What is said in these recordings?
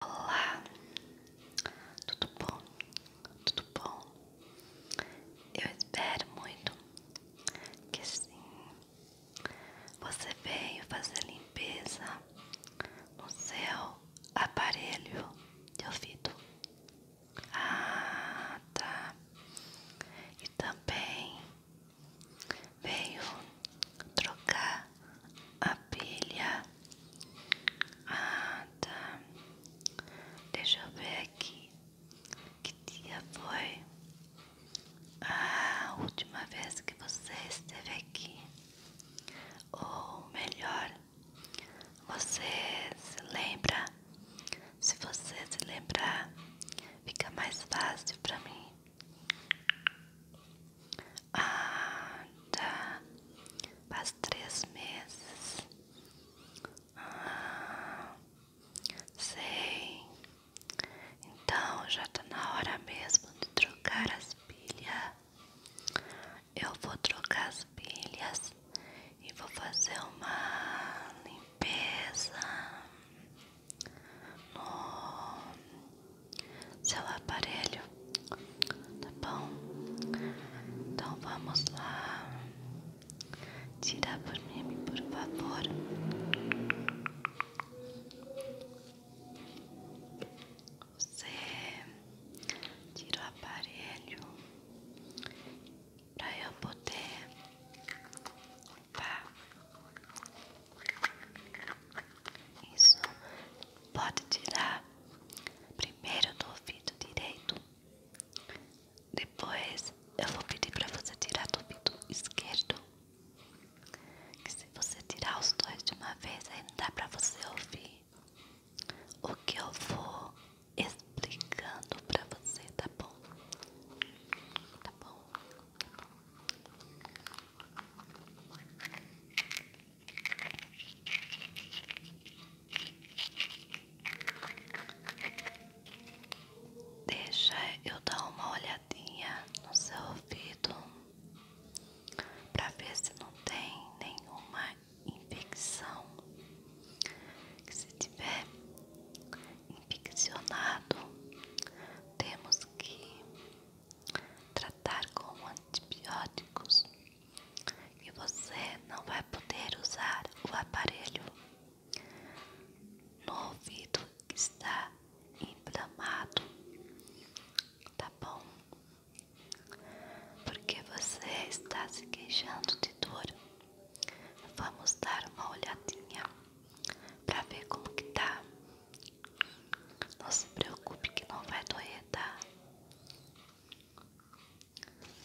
Olá, tudo bom? Tudo bom? Eu espero muito que sim. Você veio fazer limpeza no seu aparelho de ouvido. Ah, tá. E também veio trocar abelha. Ah, tá. Deixa eu ver aqui. Que dia foi? a última vez que você esteve aqui. Ou melhor, você se lembra? Se você se lembrar, fica mais fácil para mim. Ah, tá. Faz três meses. Ah, sei. Então já tá na hora mesmo de trocar as pilhas. Eu vou trocar as pilhas e vou fazer uma limpeza no seu aparelho, tá bom? Então vamos lá. Tira por mim, por favor. Você tira o aparelho para eu poder limpar. Isso pode tirar primeiro do ouvido direito. Depois eu vou pedir para você tirar do ouvido esquerdo. Que se você tirar os dois de uma vez, aí não dá para você ouvir o que eu vou explicando para você, tá bom? Tá bom? Deixa eu dar uma olhadinha no seu ouvido para ver se não tem nenhuma infecção. Que se tiver, infeccionado, temos que tratar com antibióticos e você não vai poder usar o aparelho no ouvido que está inflamado, tá bom? Porque você está se queixando de dor. Vamos dar uma olhadinha. Pra ver como que tá Não se preocupe que não vai doer, tá?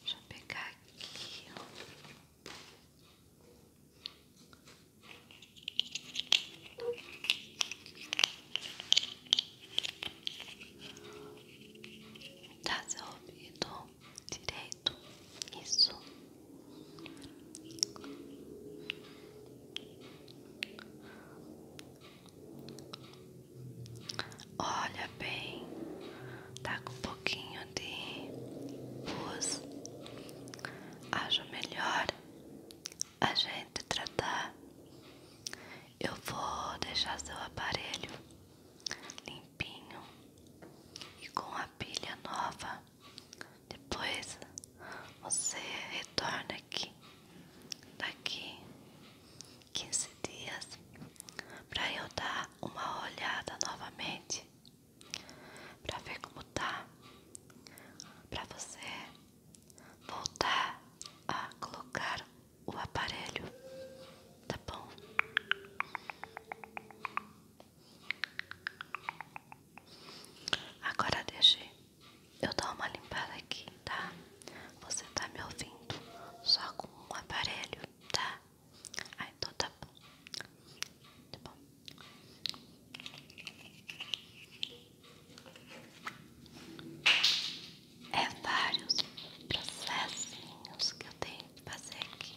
Deixa eu pegar aqui Tá seu ouvido direito, isso Olha bem, tá com pouquinho de pus. Acho melhor a gente tratar. Eu vou deixar seu aparelho limpinho e com a pilha nova depois você retorna aqui daqui 15 dias para eu dar uma olhada novamente para ver como tá para você voltar a colocar o aparelho, tá bom? Agora deixe eu dou uma limpada aqui, tá? Você tá me ouvindo só com um aparelho, tá? Ah, então tá bom. Tá bom. É vários processinhos que eu tenho que fazer aqui.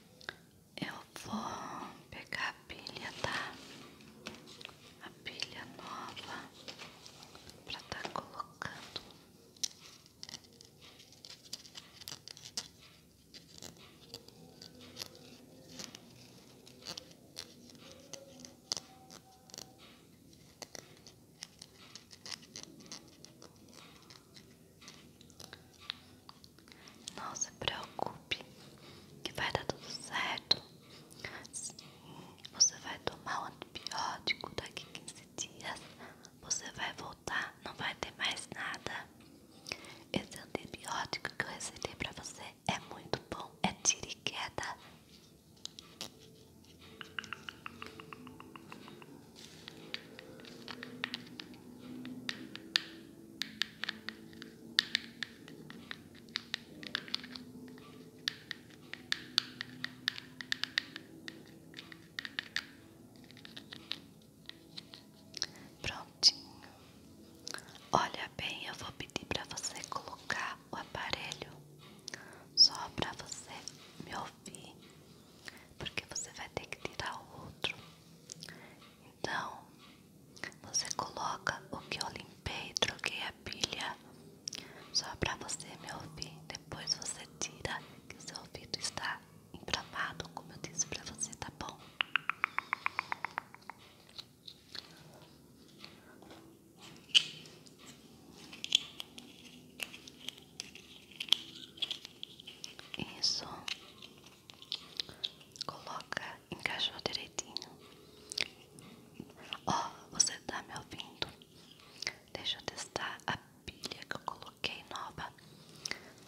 Eu vou pegar a pilha, tá? A pilha nova pra tá colocando. Não se preocupe, que vai dar tudo certo. Sim, você vai tomar um antibiótico daqui 15 dias. Você vai voltar, não vai ter mais nada. Esse antibiótico que eu recebi pra você é muito bom, é tira e queda. Prontinho. Olha bem, eu vou pedir para você colocar o aparelho só para você me ouvir porque você vai ter que tirar o outro. Então, você coloca o que eu limpei, e troquei a pilha, só para você me ouvir. Depois você tira, que o seu ouvido está encravado, como eu disse para você, tá bom? Isso coloca, encaixou direitinho. Ó, você tá me ouvindo? Deixa eu testar a pilha que eu coloquei nova.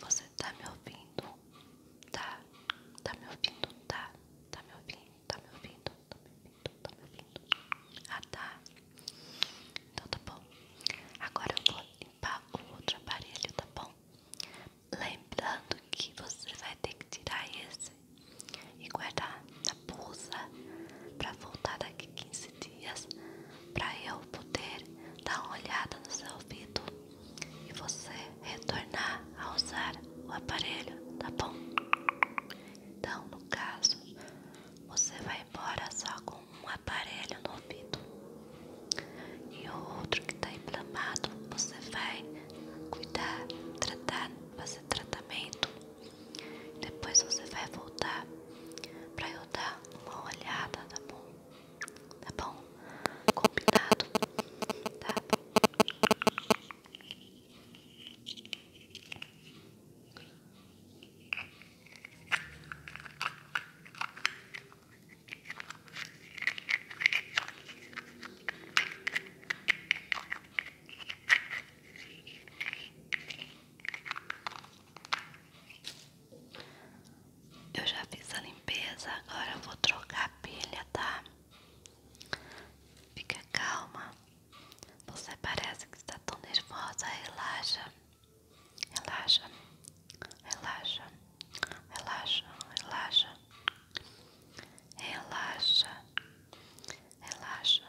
Você tá me ouvindo? Tá, tá me ouvindo, tá, tá me ouvindo, tá me ouvindo, tá me ouvindo. Tá me ouvindo? Ah, tá. Então tá bom. Agora eu vou limpar com outro aparelho, tá bom? Lembrando que você vai ter que tirar esse e guardar na bolsa pra voltar daqui 15 dias pra eu poder dar uma olhada no seu ouvido e você retornar a usar o aparelho, tá bom? Então, no caso, você vai embora só com um aparelho no ouvido. E o outro que está inflamado, você vai cuidar, tratar, fazer tratamento. Depois você vai voltar para eu dar uma olhada, tá bom? Tá bom? Combinado? Tá bom? Eu já fiz a limpeza, agora eu vou trocar a pilha, tá? Fica calma. Você parece que está tão nervosa. Relaxa, relaxa, relaxa, relaxa, relaxa, relaxa, relaxa.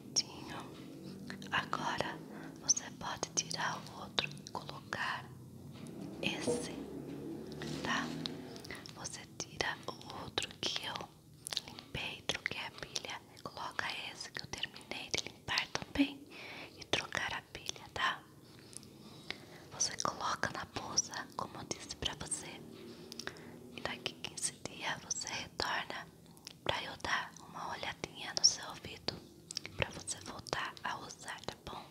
certinho. Agora você pode tirar o outro e colocar esse, tá? Você tira o outro que eu limpei, troquei a pilha, coloca esse que eu terminei de limpar também e trocar a pilha, tá? Você coloca na bolsa, como eu disse pra você, e daqui 15 dias você retorna para eu dar uma olhadinha no seu ouvido para você voltar a usar, tá bom?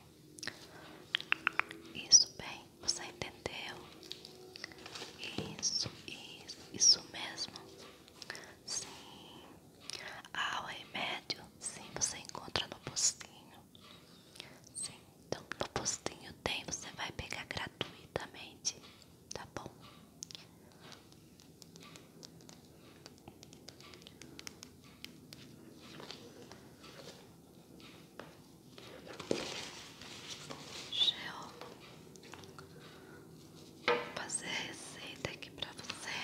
Isso bem, você entendeu? Isso, isso, isso mesmo. Sim. Ah, o médio, sim, você encontra no postinho. Sim, então no postinho tem, você vai pegar gratuitamente tá bom? Gel, vou fazer a receita aqui pra você.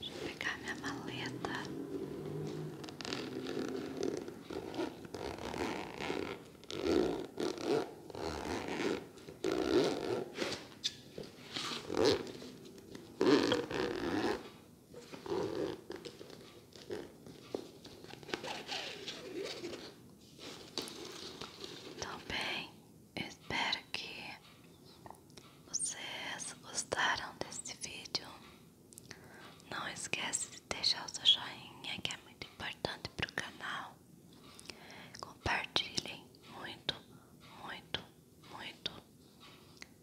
Deixa eu pegar minha maleta. Então, bem, espero que vocês gostaram desse vídeo. Não esquece de deixar o seu joinha que é muito importante para o canal. Compartilhem muito, muito, muito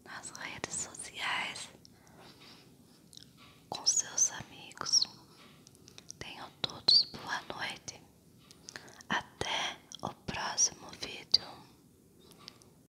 nas redes sociais com seus amigos. Tenham todos boa noite. Até o próximo vídeo.